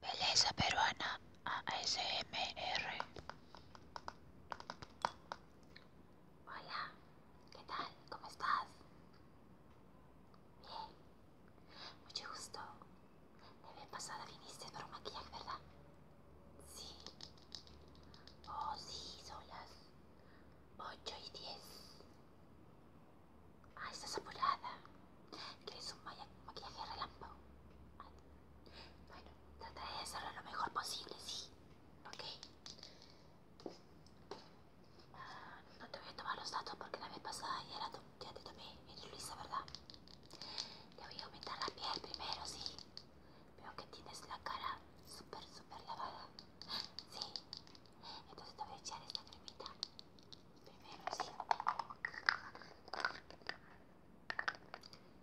Belleza peruana ASMR. Hola, ¿qué tal? ¿Cómo estás? Bien, mucho gusto. De vez pasada viniste por un maquillaje, ¿verdad? Sí. Oh, sí, son las 8 y 10. Ah, estás apurada. ¿Quieres un maquillaje relámpago? bueno, trataré de hacerlo lo mejor posible, sí. Ok. Ah, no te voy a tomar los datos porque la vez pasada ya, era te tomé. Eres Luisa, ¿verdad? Te voy a aumentar la piel primero, sí. Veo que tienes la cara súper, súper lavada. Sí. Entonces te voy a echar esta cremita. Primero sí.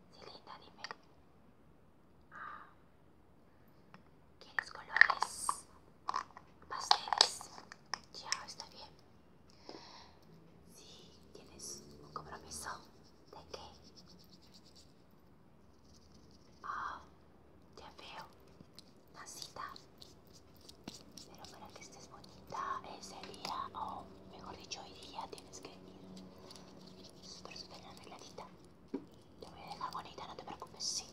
Sí, linda, dime. Ah, ¿Quieres colores? Pasteles. Ya, está bien. Sí, tienes un compromiso. ¿De qué? Ah, ya veo está Pero para que estés bonita ese día, o mejor dicho, hoy día tienes que ir súper, súper arregladita. Te voy a dejar bonita, no te preocupes, sí.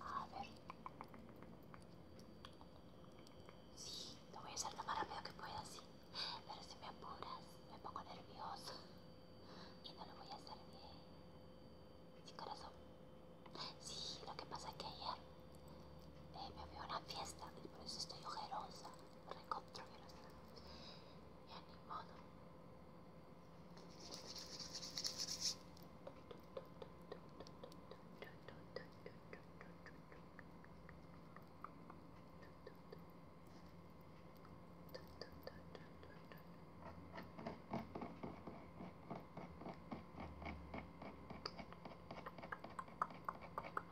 A ver. Sí, lo voy a hacer lo más rápido que pueda, sí. Pero si me apuras, me pongo nerviosa. Y no lo voy a hacer bien. Sí, corazón. Sí, lo que pasa es que ayer eh, me vio una fiesta y por eso estoy ojerosa, recontra ojerosa. Ya ni modo.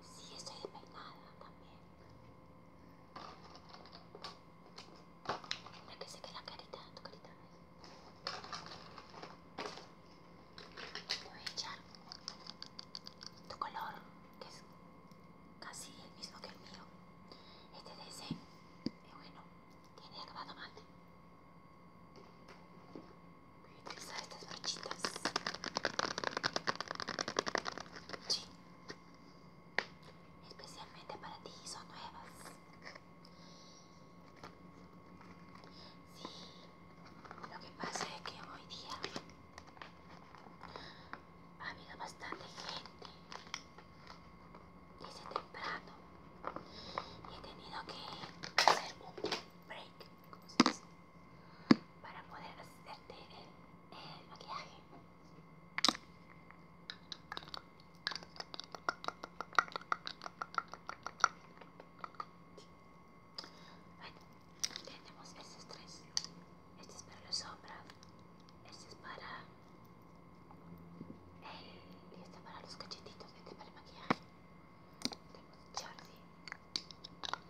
Sí, estoy despeinada también. Mira que se queda la carita, tu carita. Te voy a echar tu color, que es casi el mismo que el mío. Este ese. Y eh, bueno, tiene acabado mate. Voy a utilizar estas brochitas. Sí. Especialmente para ti son nuevas. Sí. Lo que pasa es que hoy día ha habido bastante gente hice temprano y he tenido que hacer un break como para poder hacerte el, maquillaje bueno, tenemos estos tres este es para los sombras este es para y esta para los cachetitos, este para el maquillaje. vamos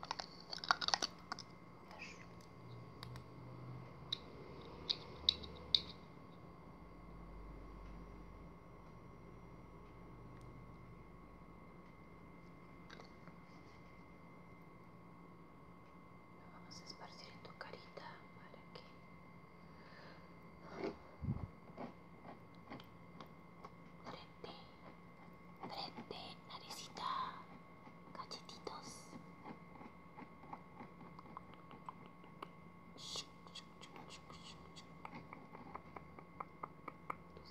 a esparcir en tu carita para que Frente, frente, naricita, cachetitos. Tu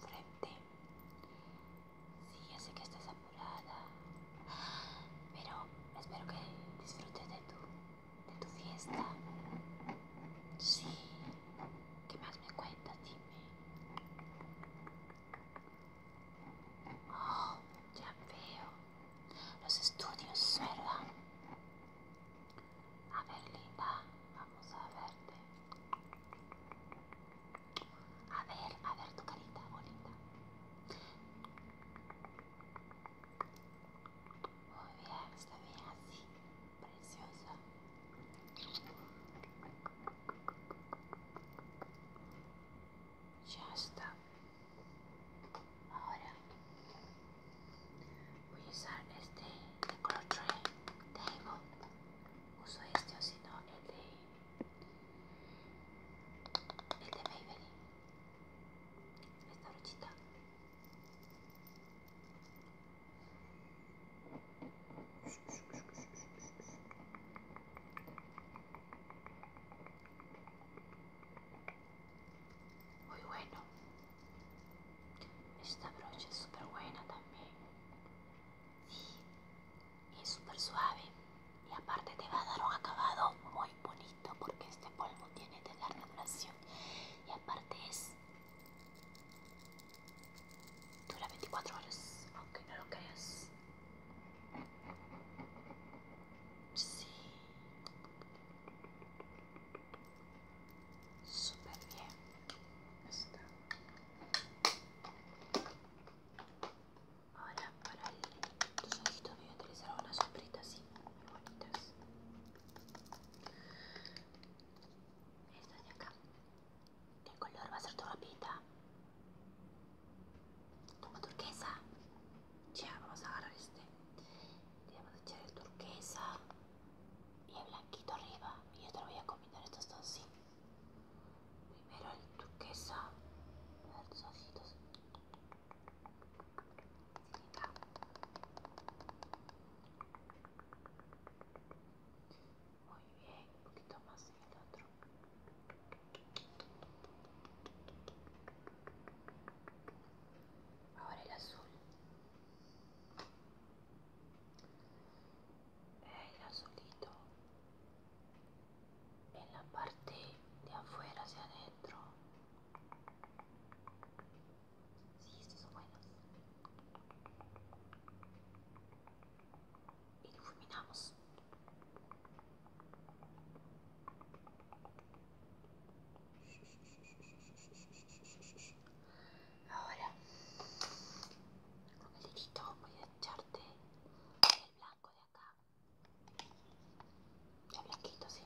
frente. Sí, ya sé que estás apurada, pero espero que disfrutes de tu de tu fiesta. Sí. ¿Qué más me cuenta Dime. Oh, ya veo. Los estudios, ¿verdad? A ver, linda. Vamos a verte. A ver, a ver tu carita bonita. Muy bien, está bien así, precioso. Ya está. Ahora voy a usar este de color tray, table. Uso este o si no el de el de Maybelline. Esta brochita. Muy bueno. Esta brocha es súper buena también. y es súper suave. Y aparte te va a dar un acabado muy bonito porque este polvo tiene de larga duración y aparte es dura 24 horas aunque no lo creas sí super bien está ahora para el, tus voy a utilizar una sombrita así bonitas estas de acá ¿qué color va a ser tu ropita? Toma turquesa ya vamos a agarrar este le vamos a echar el turquesa y el blanquito arriba y yo te lo voy a combinar estos dos así. primero el turquesa a ver tus ojitos muy bien, un poquito más el otro. Ahora el azul. El azulito en la parte de afuera hacia adentro Sí, estos son buenos. Iluminamos. Ahora, con el dedito voy a echarte el blanco de ya blanquito, sí.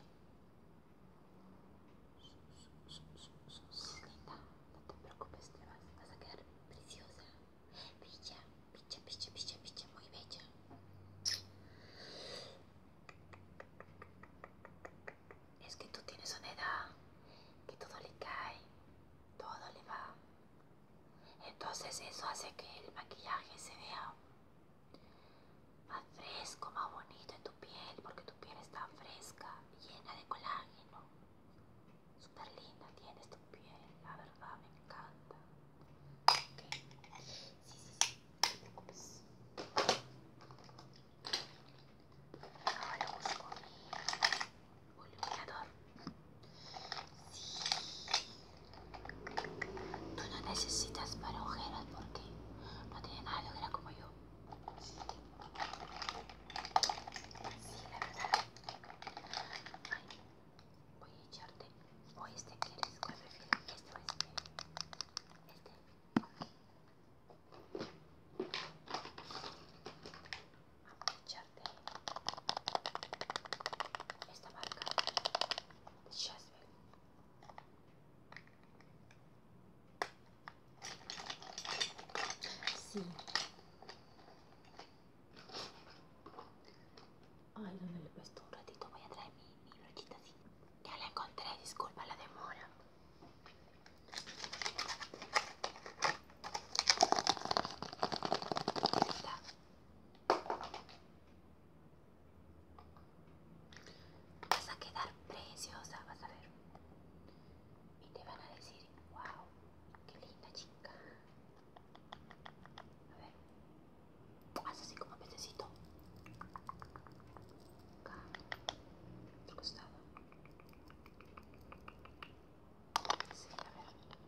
Linda, no te preocupes, te vas, a quedar preciosa. Picha, picha, picha, picha, picha, muy bella. Es que tú tienes una edad que todo le cae, todo le va. Entonces eso hace que el maquillaje se vea más fresco, más bonito en tu piel, porque tu piel está fresca, llena de colágeno. Súper linda tienes tu piel, la verdad me encanta. Ok Sí, sí, sí, no te preocupes. Ahora busco mi iluminador. Sí, Tú no necesitas para ojeras porque no tiene nada de ojera como yo. Sí, la verdad. Ay, voy a echarte. O este quieres, ¿cuál prefieres? Este o este. Este. Vamos a echarte esta marca. Just Sí. Ay, ¿dónde le puesto un ratito? Voy a traer mi, mi brochita así. Ya la encontré, disculpa la demora. Vas a quedar preciosa, vas a ver. Y te van a decir, wow, qué linda chica. A ver, haz así como pececito. Acá, otro costado. Sí, a ver.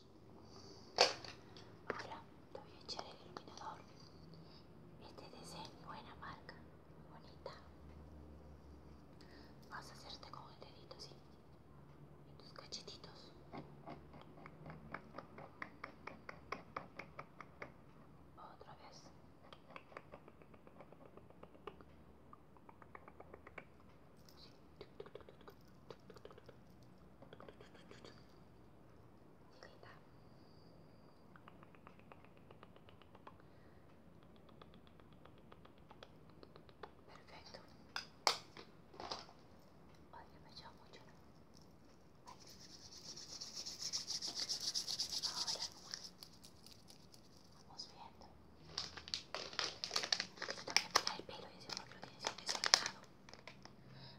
Ahora te voy echar el iluminador. Este es de ser buena marca, bonita. Vas a hacerte con el dedito así, en tus cachetitos. Otra vez. Sí. Linda. Perfecto. Ay, me echó mucho. Vale. Ahora vamos viendo. Yo te voy a pegar el pelo y decimos que lo tienes desordenado.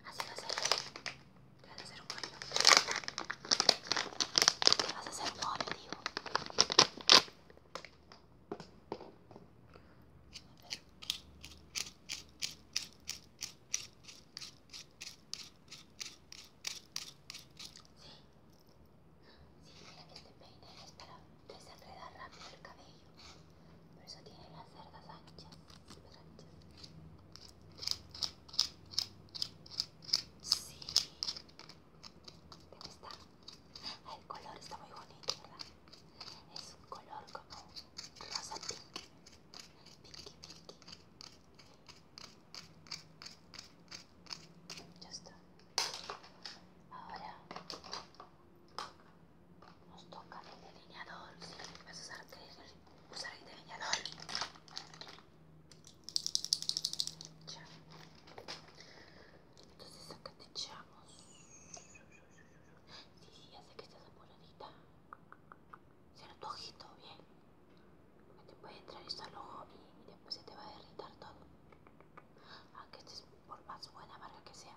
Así vas a hacer. Te vas a hacer un coño Te vas a hacer un coño digo. A ver. Sí. Sí, mira que este peine es para desenredar rápido el cabello. Por eso tiene las cerdas anchas, súper anchas. Sí, está. Ah, el color está muy bonito, ¿verdad? Es un color como rosa pink. Pinky, pinky. Ya Ahora nos toca el delineador. Si vas a usar, el delineador, Entonces, acá te echamos. si, ya sé que estés apuradita. Cierra tu ojito bien. Te puede entrar esto al ojo y después se te va a derritar todo. Aunque estés por más buena marca que sea.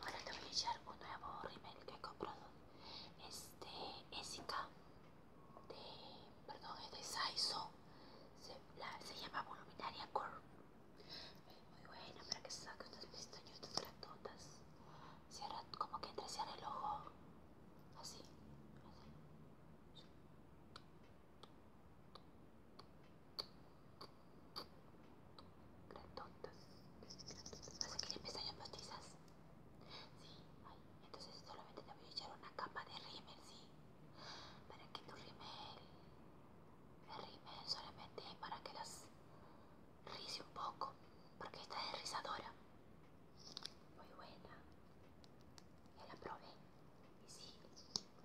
Ahora te voy a echar un nuevo rimel que he comprado. Este de. Perdón, es de Saizo. Se, llama voluminaria Curve. muy buena para que se saque estas pestañas todas. Cierra como que entre el ojo. así grandotas. ¿Vas a querer pestañas bautizas Sí, entonces solamente te voy a echar una capa de rímel, sí. Para que tu rímel, el rímel solamente para que las rice un poco, porque esta es rizadora. Muy buena. Ya la probé. Y sí,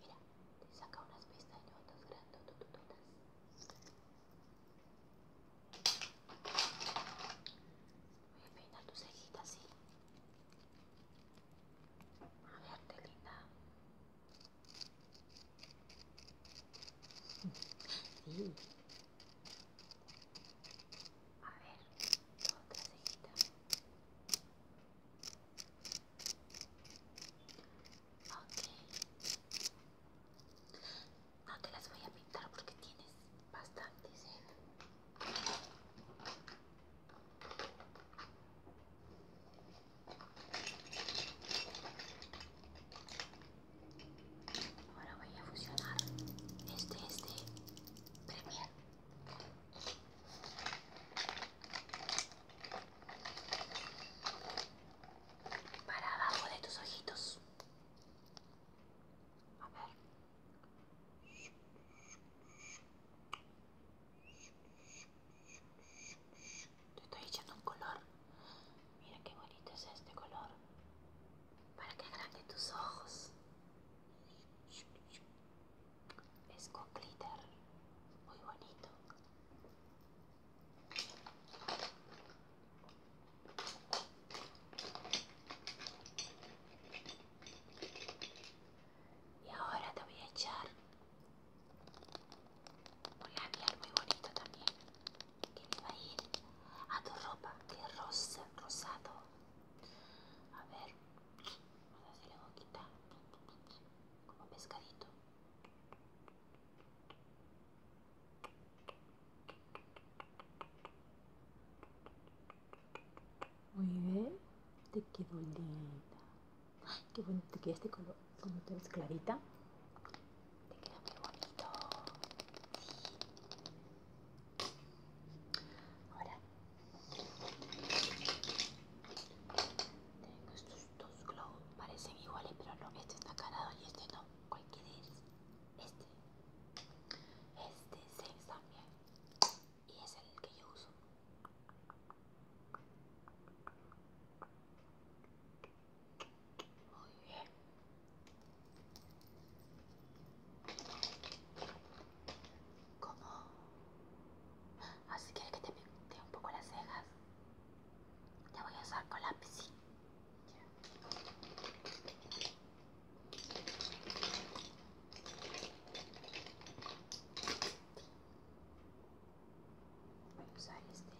mira, te saca unas pestañotas grandotas Voy a peinar tus cejitas, sí. A verte, linda. Sí. A ver, otra cejita. Ok. No te las voy a pintar porque tienes bastante Ahora voy a fusionar este, este, Premier para abajo de tus ojitos. A ver. Te estoy echando un color. Mira qué bonito es este color. Para que agrande tus ojos. Es con glitter. Muy bonito. Y ahora te voy a echar un labial muy bonito también, que le va a ir a tu ropa, que es rosa, rosado. A ver, vamos a hacerle boquita, como pescadito. Muy bien, te quedó linda. Ay, qué bonito te queda este color. como te ves clarita, te queda muy bonito. Ahora, tengo estos dos globos, parecen iguales, pero no, este está cargado y este no. ¿Cuál es Este. Este es sex también. Y es el que yo uso. Muy bien. ¿Cómo? Así ah, quieres que te pinte un poco las cejas. Te voy a usar con lápiz. ¿sí? Voy usar este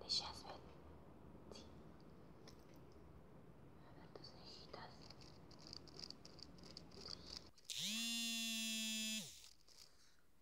de Jasper Sí. A ver tus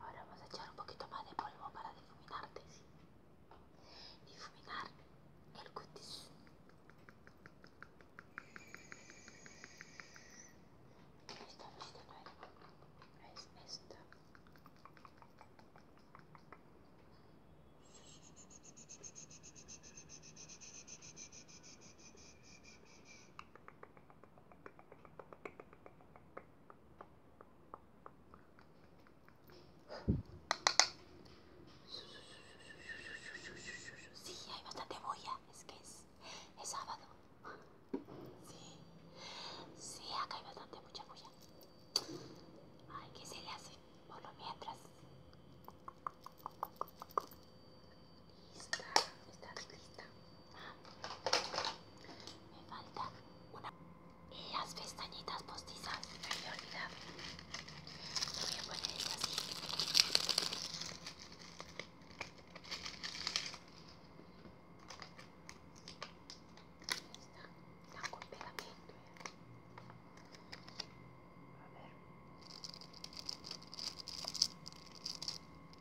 Ahora vamos a echar un poquito más de polvo para difuminarte, ¿sí? Difuminar el cutis. Esta, esta no es, es esta. Sí, hay bastante bulla, es que es, sábado. Sí, sí, acá hay bastante mucha bulla. Ay, qué se le hace por lo mientras lista, estás lista. me falta una y las pestañitas postizas. Me había olvidado. voy a ponerlas así. Está, está con pegamento. A ver.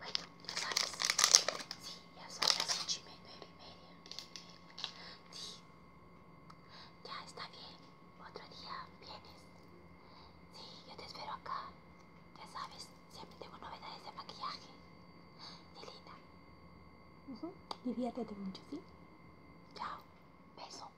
Bella, Bueno, ya sabes. Sí, ya son las ocho y media, nueve y media. Sí. Ya está bien. Otro día vienes. Sí, yo te espero acá. Ya sabes, siempre tengo novedades de maquillaje. Sí, linda. Uh Diviértete mucho, ¿sí? Chao. Beso.